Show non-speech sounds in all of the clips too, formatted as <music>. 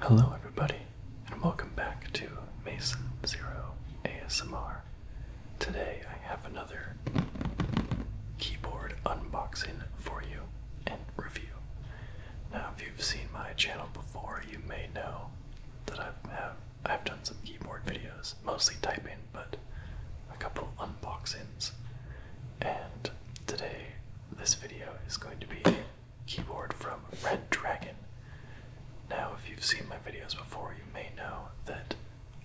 Hello, everybody, and welcome back to Mason Zero ASMR. Today I have another keyboard unboxing for you and review. Now, if you've seen my channel before, you may know that I've have, I've done some keyboard videos, mostly typing, but a couple unboxings. And today, this video is going to be keyboard from Red Dragon. Now, if you've seen my videos before, you may know that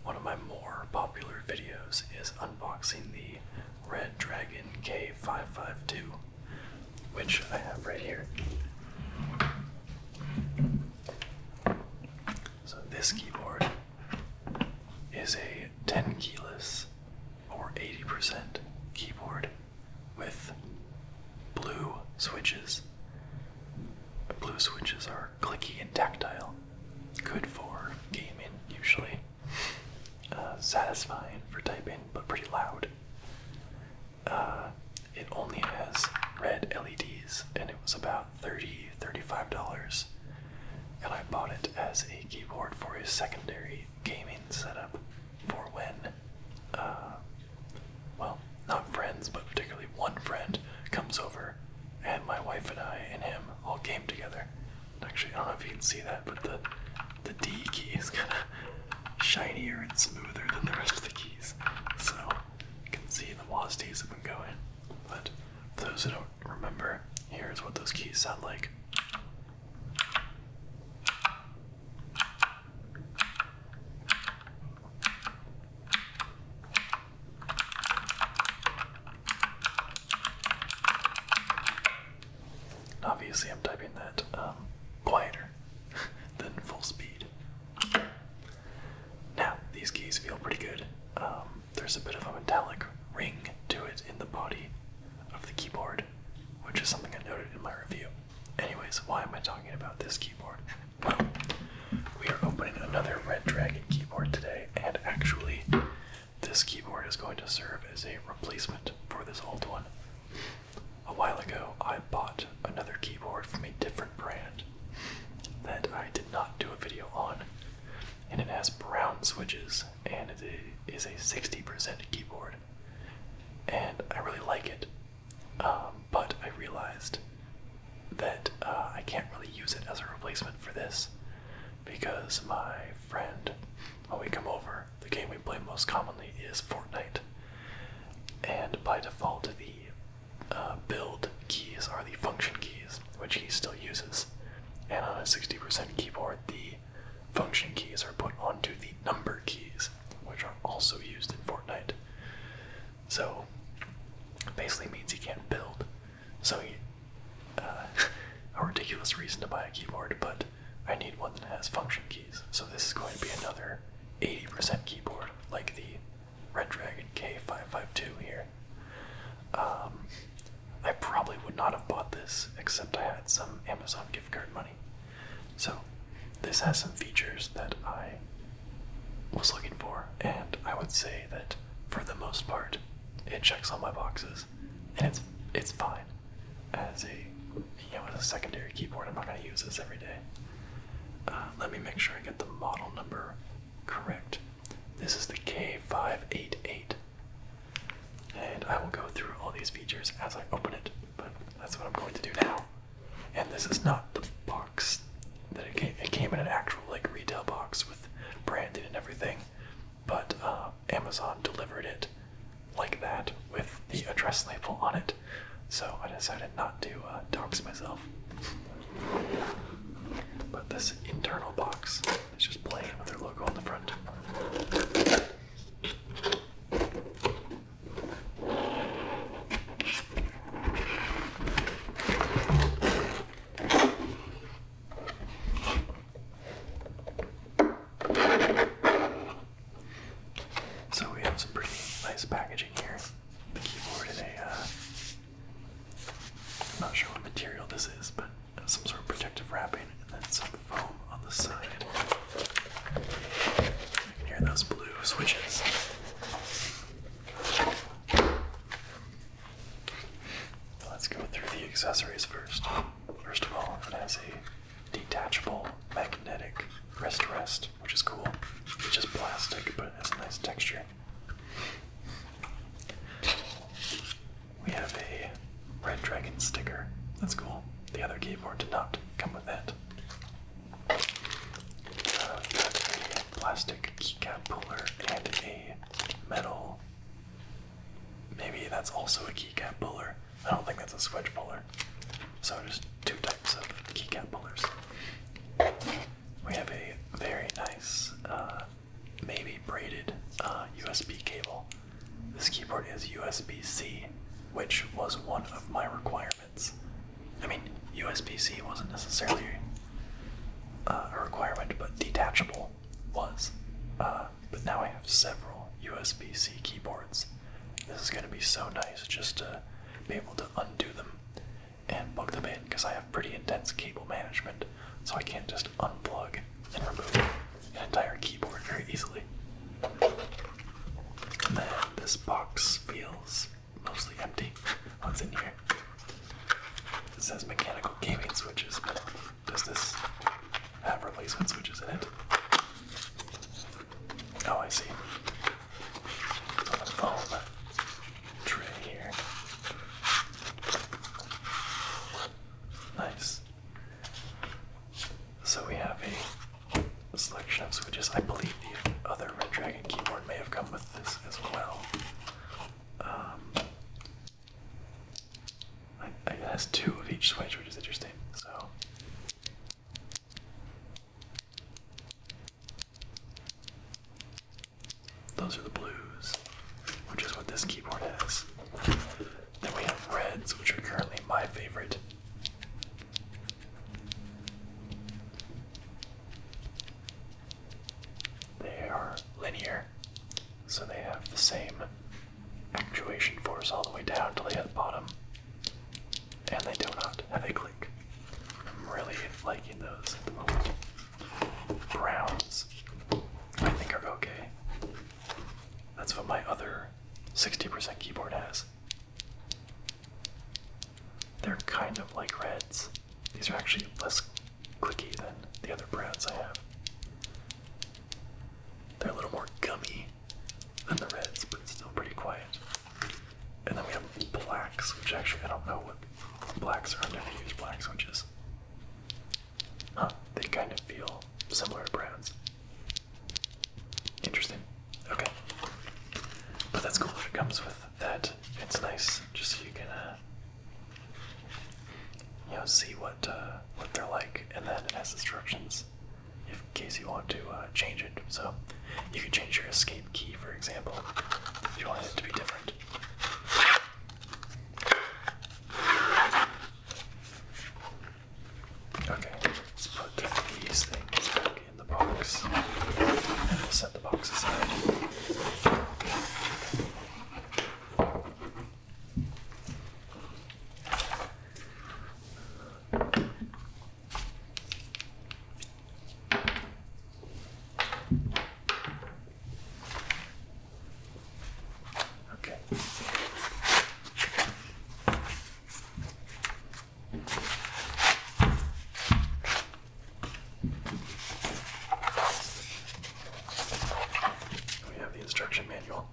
one of my more popular videos is unboxing the Red Dragon K552, which I have right here. So, this keyboard is a 10 keyless or 80% keyboard with blue switches. Blue switches are clicky and tactile, good for gaming usually, uh, satisfying for typing but pretty loud. Uh, it only has red LEDs and it was about about 30 $35 and I bought it as a keyboard for a secondary gaming setup for when uh, well not friends but particularly one friend comes over and my wife and I and him all game together. Actually I don't know if you can see that but the the D key is kinda shinier and smoother than the rest of the keys. So you can see the WASDs have been going. But for those who don't remember, here's what those keys sound like. Obviously, I'm typing that um, quieter <laughs> than full speed. Now, these keys feel pretty good. Um, there's a bit of a metallic ring to it in the body of the keyboard, which is something I noted in my review. Anyways, why am I talking about this keyboard? Well, we are opening another Red Dragon keyboard today, and actually, this keyboard is going to serve as a replacement for this old one. A while ago, I bought another keyboard from a different brand that I did not do a video on. And it has brown switches and it is a 60% keyboard. And I really like it. Um, but I realized that uh, I can't really use it as a replacement for this because my friend, when we come over, the game we play most commonly is Fortnite. And by default, the uh, build keys are the function keys, which he still uses. And on a 60% keyboard, the function keys are put onto the number keys, which are also used in Fortnite. So, basically means he can't build. So, uh, <laughs> a ridiculous reason to buy a keyboard, but I need one that has function keys. So, this is going to be another 80% keyboard, like the Red Dragon K552 here. Um, I probably would not have bought this except I had some Amazon gift card money. So, this has some features that I was looking for, and I would say that for the most part, it checks all my boxes, and it's it's fine. As a as a secondary keyboard, I'm not gonna use this every day. Uh, let me make sure I get the model number Correct. This is the K588. And I will go through all these features as I open it, but that's what I'm going to do now. And this is not the box that it came. in an actual like retail box with branding and everything, but uh, Amazon delivered it like that with the address label on it. So I decided not to uh, myself. But this internal box is just plain with their logo on the front. So we have some pretty nice packaging here. The keyboard in a uh, I'm not sure what material this is, but some sort of protective wrapping and then some foam on the side. I can hear those blue switches. Let's go through the accessories first. First of all, it has a detachable magnetic wrist rest, which is cool. It's just plastic, but it has a nice texture. We have a Red Dragon sticker. That's cool. The other keyboard did not come with that. a uh, plastic keycap puller and a metal. Maybe that's also a keycap puller. I don't think that's a switch puller. So just two types of keycap pullers we have a very nice, uh, maybe braided USB uh, cable. This keyboard is USB C, which was one of my requirements. I mean, USB C wasn't necessarily uh, a requirement, but detachable was. but now I have several USB C keyboards. This is going to be so nice just to be able to undo them and plug them in because I have pretty intense cable management, so I can't just unplug and remove an entire keyboard very easily. And then this box feels mostly empty. <laughs> What's in here? It says mechanical gaming switches, but does this have replacement switches in it? Oh, I see. Nice. So we have a selection of switches. I believe the other Red Dragon keyboard may have come with this as well. Um, it has two of each switch, which is interesting. So those are the blues, which is what this keyboard has. Then we have reds, which are currently my favorite. They are linear, so they have the same actuation force all the way down to the bottom. And they do not have a click. I'm really liking those Browns, I think, are okay. That's what my other 60% keyboard has. They're kind of like reds. These are actually less clicky than the other browns I have. They're a little more gummy than the reds, but still pretty quiet. And then we have blacks, which actually I don't know what blacks are. I'm going to use blacks, which is, huh, they kind of feel similar to browns. Interesting. Okay. But that's cool if it comes with that. It's nice just so you can, uh, you know, see what uh, what they're like, and then it has instructions in case you want to uh, change it. So you can change your escape key, for example, if you want it to be different. Okay, let's put these things back in the box. And set the box aside. Okay. We have the instruction manual.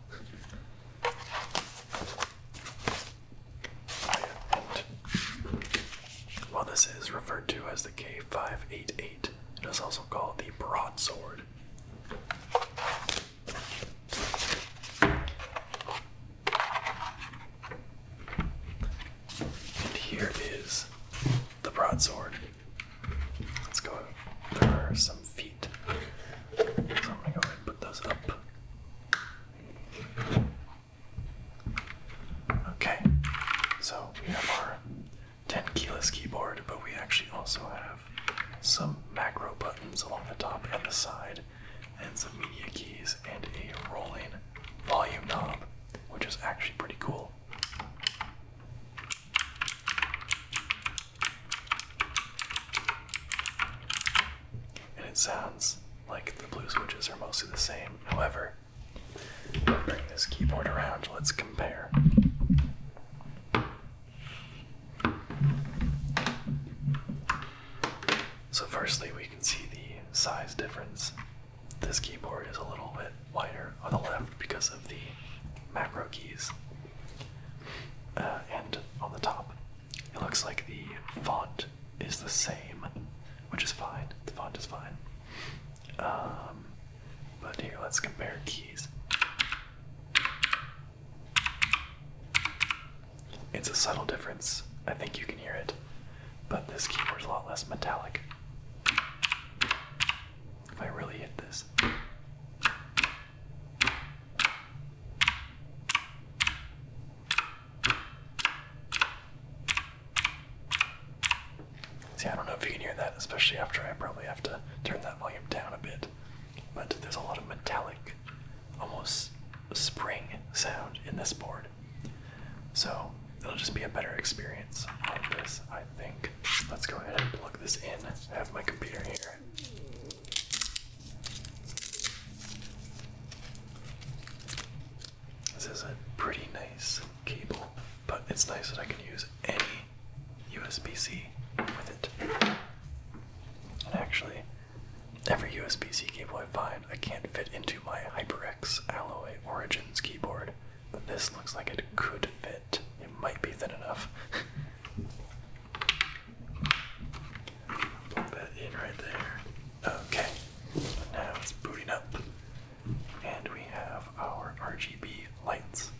And while this is referred to as the K588, it is also called the broadsword. And here is the broadsword. Let's go. There are some feet. I'm gonna go and put those up. Okay, so we have our 10 keyless keyboard, but we actually also have some macro buttons along the top and the side, and some media keys, and a rolling volume knob, which is actually pretty cool and it sounds like the blue switches are mostly the same. However, bring this keyboard around, let's compare. So, firstly, we can see the size difference. This keyboard is a little bit wider on the left because of the macro keys, uh, and on the top it looks like the font is the same, which is fine. The font is fine. Um, but here, let's compare keys. It's a subtle difference. I think you can hear it. But this keyboard's a lot less metallic. If I really hit this. See, I don't know if you can hear that, especially after I probably have to turn that volume down a bit. But there's a lot of metallic, almost spring sound in this board. So it'll just be a better experience on this, I think. Let's go ahead and plug this in. I have my computer here. This is a pretty nice cable, but it's nice that I can use any USB-C with it. And actually, every USB-C cable I find, I can't fit into my HyperX Alloy Origins keyboard, but this looks like it could fit. It might be thin enough. <laughs> Put that in right there. Okay. Now it's booting up. And we have our RGB lights.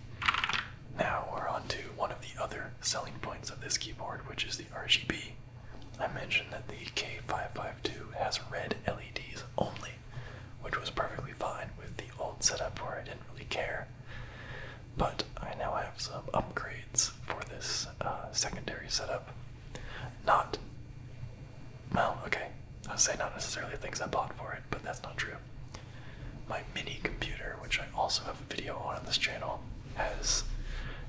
Now we're on to one of the other selling points of this keyboard, which is the RGB. I mentioned that the K552 has red LEDs only, which was perfectly fine with the old setup where I didn't really care. But I now have some upgrades for this uh, secondary setup. Not, well, okay, I say not necessarily things I bought for it, but that's not true. My mini computer, which I also have a video on on this channel, has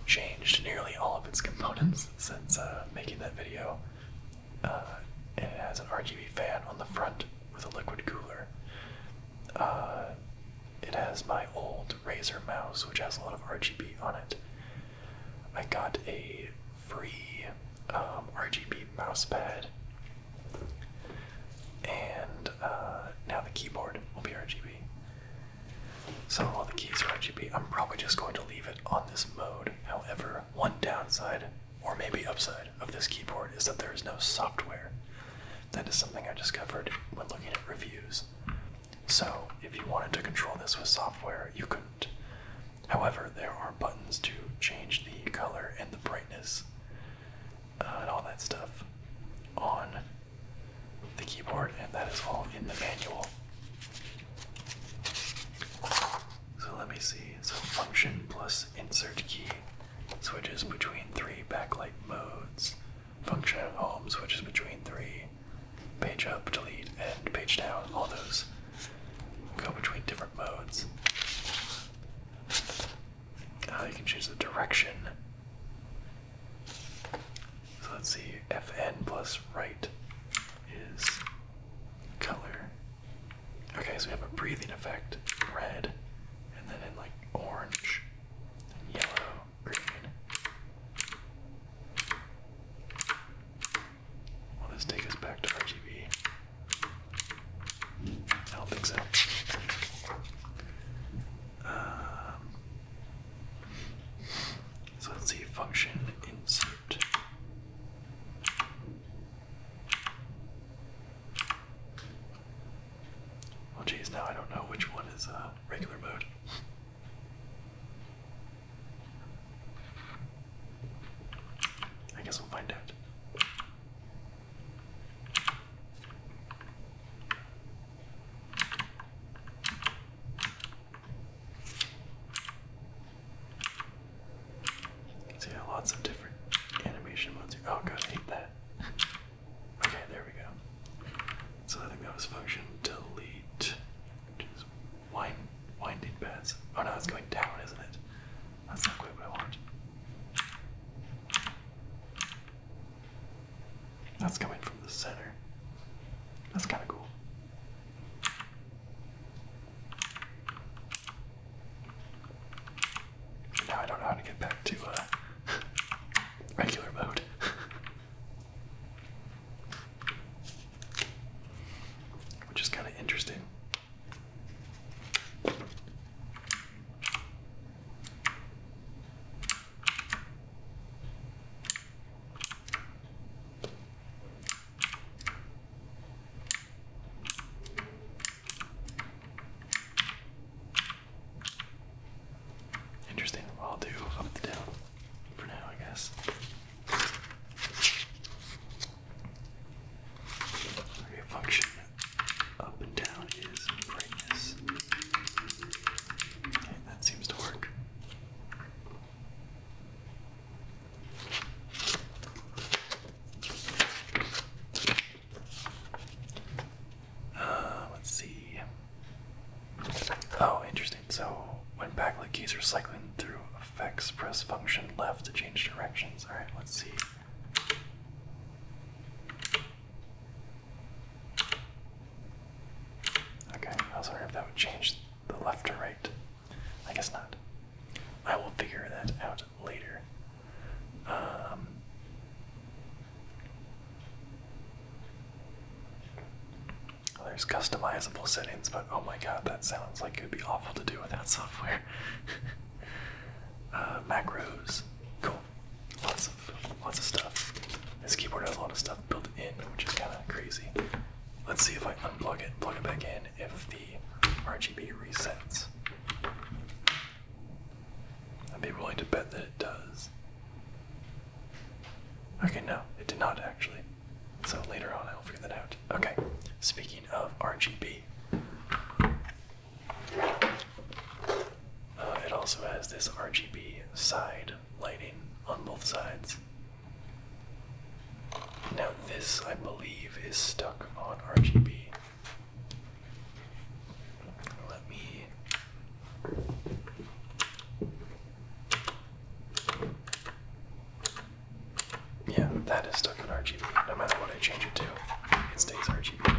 changed nearly all of its <laughs> components since uh, making that video. Uh, and it has an RGB fan on the front with a liquid cooler. Uh, it has my old old Razer mouse, which has a lot of RGB on it. I got a free um, RGB mouse pad, and uh, now the keyboard will be RGB. So all the keys are RGB. I'm probably just going to leave it on this mode. However, one downside, or maybe upside, of this keyboard is that there is no software. That is something I discovered when looking at reviews. So, if you wanted to control this with software, you couldn't. However, there are buttons to change the color and the brightness uh, and all that stuff on the keyboard, and that is all in the manual. So, let me see. So, function plus insert key switches between three backlight modes function home homes, is between three, page up, delete, and page down. All those go between different modes. Now you can choose the direction. So let's see, Fn plus right is color. Okay, so we have a breathing effect, red, and then in like orange, and yellow, Let's take us back to RGB? I don't think so. Um, so let's see function insert. Well, geez, now I don't know which one is uh, regular mode. I guess we'll find out. So lots of different animation modes Oh god, hate that. okay, there we go. So I think that was function delete. Which winding beds. Oh no, it's going down, isn't it? That's not quite what I want. That's coming from the center. That's kinda cool. Now I don't know how to get back to uh, <laughs> regular mode. <laughs> Which is kind of interesting. Interesting. Well, I'll do up to down for now, I guess. Okay, function up and down is brightness. Okay, that seems to work. Uh, let's see. Oh, interesting. So when backlit keys are cycling through effects, press function left to change directions. All right, let's see. Okay, I was wondering if that would change the left or right. I guess not. I will figure that out later. Um, there's customizable settings, but oh my god, that sounds like it would be awful to do without <laughs> software. Uh, macros, cool. Lots of lots of stuff. This keyboard has a lot of stuff built in, which is kind of crazy. Let's see if I unplug it, plug it back in. If the RGB resets, I'd be willing to bet that it does. Okay, no, it did not actually. So later on, I'll figure that out. Okay, speaking of RGB, uh, it also has this RGB side lighting on both sides. Now, this I believe is stuck on RGB. Let me yeah, that is stuck in RGB. No matter what I change it to, it stays RGB.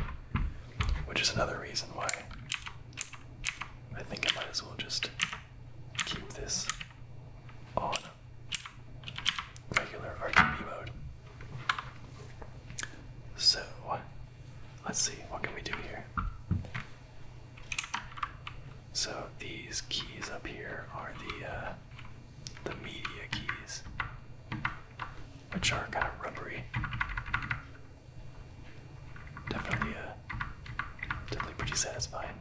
Which is another reason why I think I might as well just keep this on regular RGB mode. So, Let's see, what can we do here? So these keys up here are the uh, the media keys, which are kind of rubbery. Definitely, uh, definitely pretty satisfying.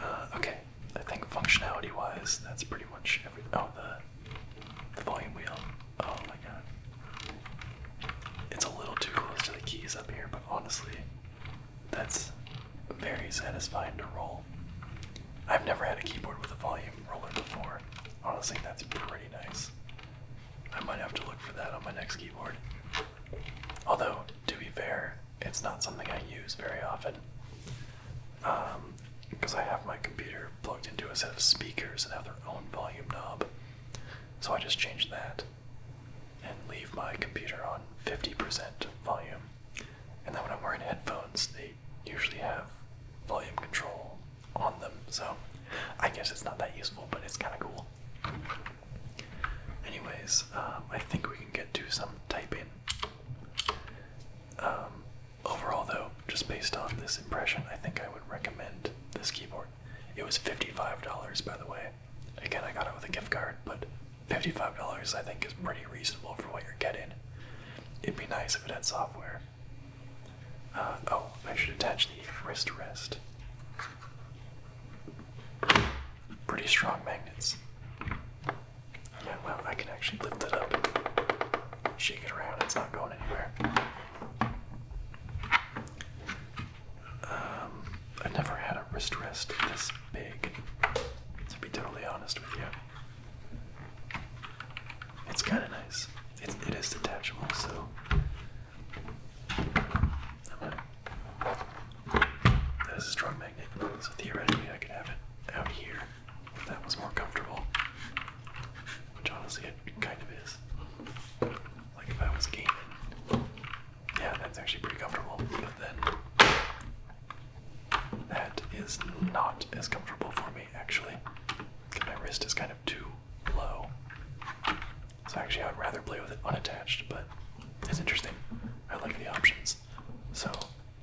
Uh, okay, I think functionality wise, that's pretty much every. Oh, the, the volume wheel. Oh my god. It's a little too close to the keys up here, but honestly, that's very satisfying to roll. I've never had a keyboard with a volume roller before. Honestly, that's pretty nice. I might have to look for that on my next keyboard. Although, to be fair, it's not something I use very often because um, I have my computer plugged into a set of speakers that have their own volume knob. So I just change that and leave my computer on 50% volume. And then when I'm wearing headphones, they usually have volume control on them. So I guess it's not that useful, but it's kind of cool. Anyways, um, I think we can get to some typing. Um, overall, though, just based on this impression, I think I would recommend this keyboard. It was $55, by the way. Again, I got it with a gift card, but $55 I think is pretty reasonable for what you're getting. It'd be nice if it had software. Uh, oh, I should attach the wrist rest. Pretty strong magnets. Yeah, well, I can actually lift it up shake it around. It's not going anywhere. Um, I've never had a wrist rest this big, to be totally honest with you. It's kind of nice. It, it is detachable, so. That is a strong magnet, so theoretically I could have it out here if that was more comfortable. Which honestly, it kind of is. Like if I was gaming, yeah, that's actually pretty comfortable. But then that is not as comfortable for me actually. Because my wrist is kind of too low. So actually, I would rather play with it unattached. But it's interesting. I like the options. So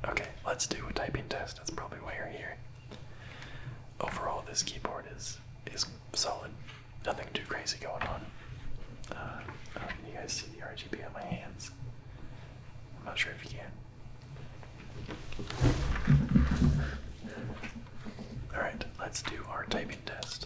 Okay, let's do a typing test. That's probably why you're here. Overall, this keyboard is is solid. Nothing too crazy going on. Uh, do you guys see the RGB on my hands. I'm not sure if you can. Alright, let's do our typing test.